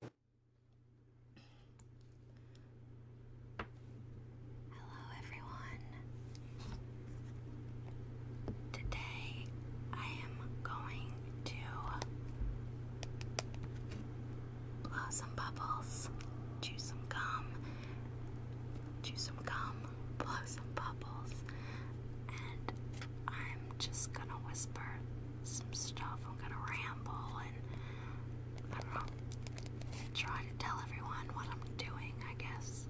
Hello, everyone. Today I am going to blow some bubbles, chew some gum, chew some gum, blow some bubbles, and I'm just gonna whisper some stuff. I'm gonna ramble and I don't know, try to tell everyone what I'm doing, I guess.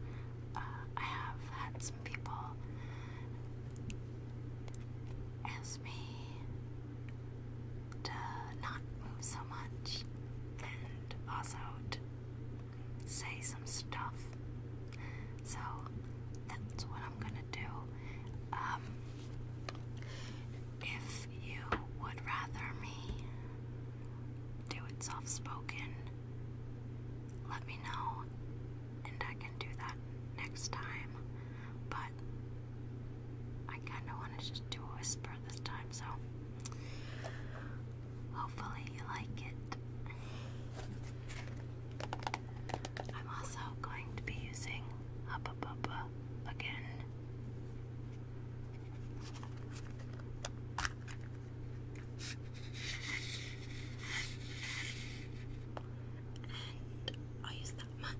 Uh, I have had some people ask me to not move so much and also to say some stuff. So that's what I'm gonna do. Um, if you would rather me do it soft spoken, let me know, and I can do that next time. But I kind of want just do whisper this time, so hopefully you like it. I'm also going to be using Hubba Bubba again. And i use that much.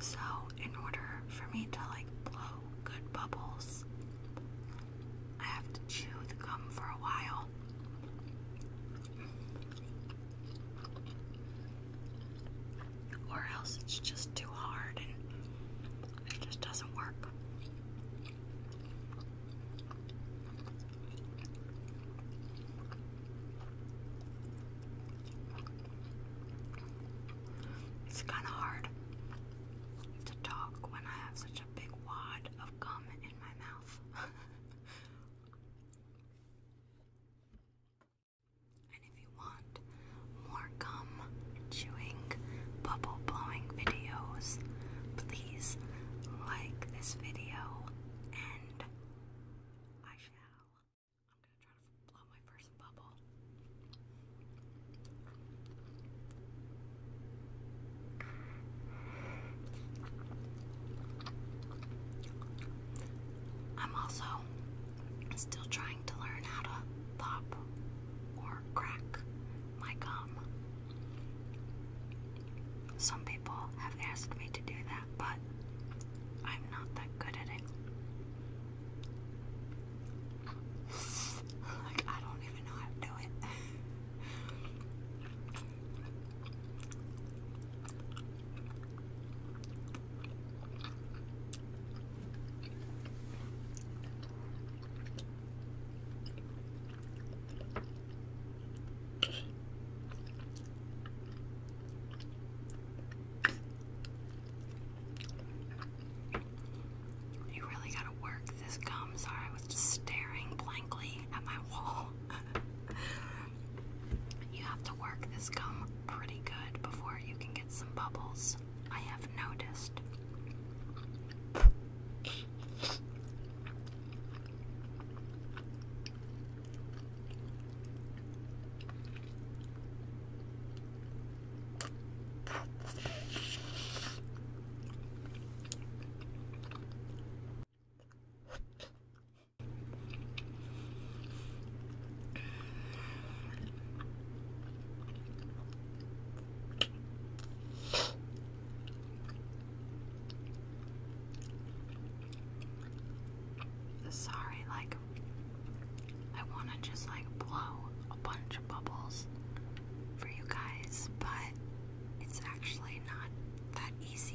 So, in order for me to like blow good bubbles, I have to chew the gum for a while or else it's just too hard and it just doesn't work. It's kind of hard to talk when I have such a big wad of gum in my mouth. And if you want more gum chewing, bubble blowing videos, please like this video and I shall. I'm gonna try to blow my first bubble. I'm also Still trying to learn how to pop or crack my gum. Some people have asked me to do that, but I'm not that good at it. like, I don't even know how to do it. You really gotta work this gum. Sorry, I was just staring blankly at my wall. You have to work this gum pretty good before you can get some bubbles. I have noticed. Sorry, like, I want to just like blow a bunch of bubbles for you guys, but it's actually not that easy.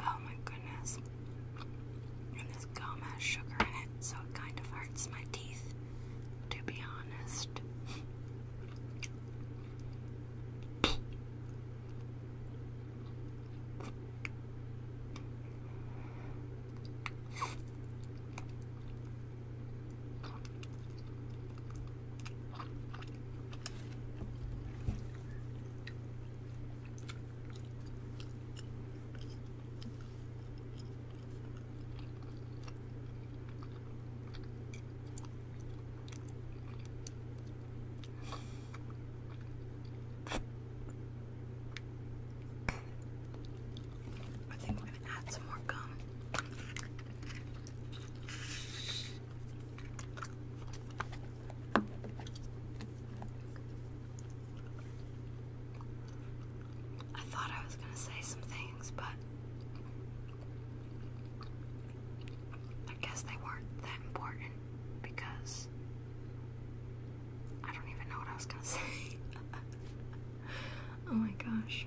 Oh my goodness. And this gum has sugar in it, so it kind of hurts my teeth, to be honest. I think we're going to add some more gum. I thought I was going to say some things, but I guess they weren't that important because I don't even know what I was going to say. oh my gosh.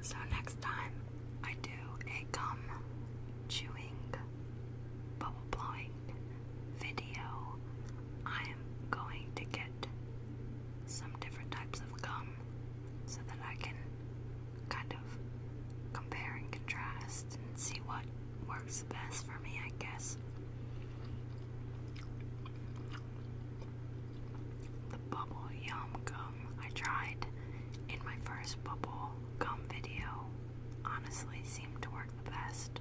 So next time I do a gum chewing, bubble blowing video, I am going to get some different types of gum so that I can kind of compare and contrast and see what works best for me, I guess. The bubble yum gum I tried in my first bubble gum video honestly seemed to work the best.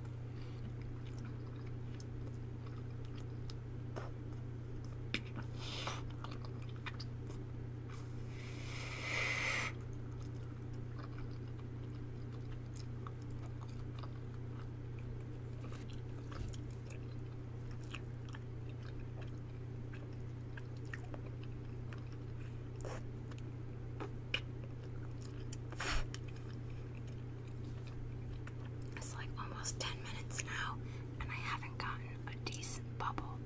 It's like almost 10 minutes now, and I haven't gotten a decent bubble.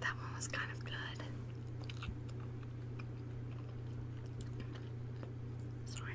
That one was kind of good. Sorry.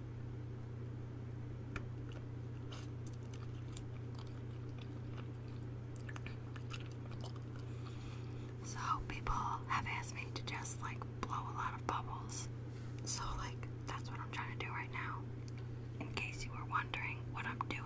So people have asked me to just like blow a lot of bubbles. So like that's what I'm trying to do right now. In case you were wondering what I'm doing.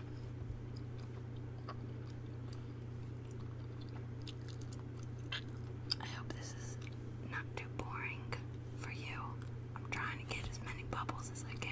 I hope this is not too boring for you. I'm trying to get as many bubbles as I can.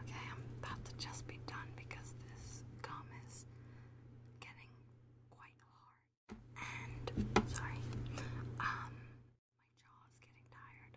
Okay, I'm about to just be done because this gum is getting quite hard. And, sorry, um, my jaw is getting tired.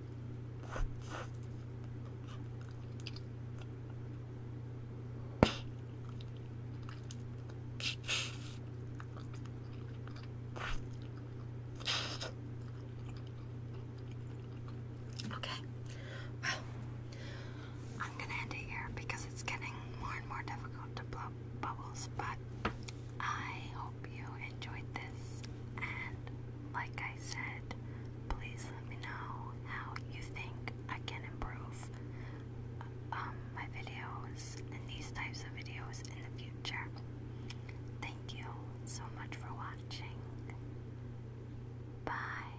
Okay, well, I'm gonna end it here because it's getting more and more difficult to blow bubbles, but I hope you enjoyed this, and like I said, please let me know how you think I can improve um, my videos and these types of videos in the future. Thank you so much for watching. Bye.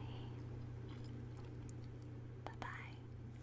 Bye bye.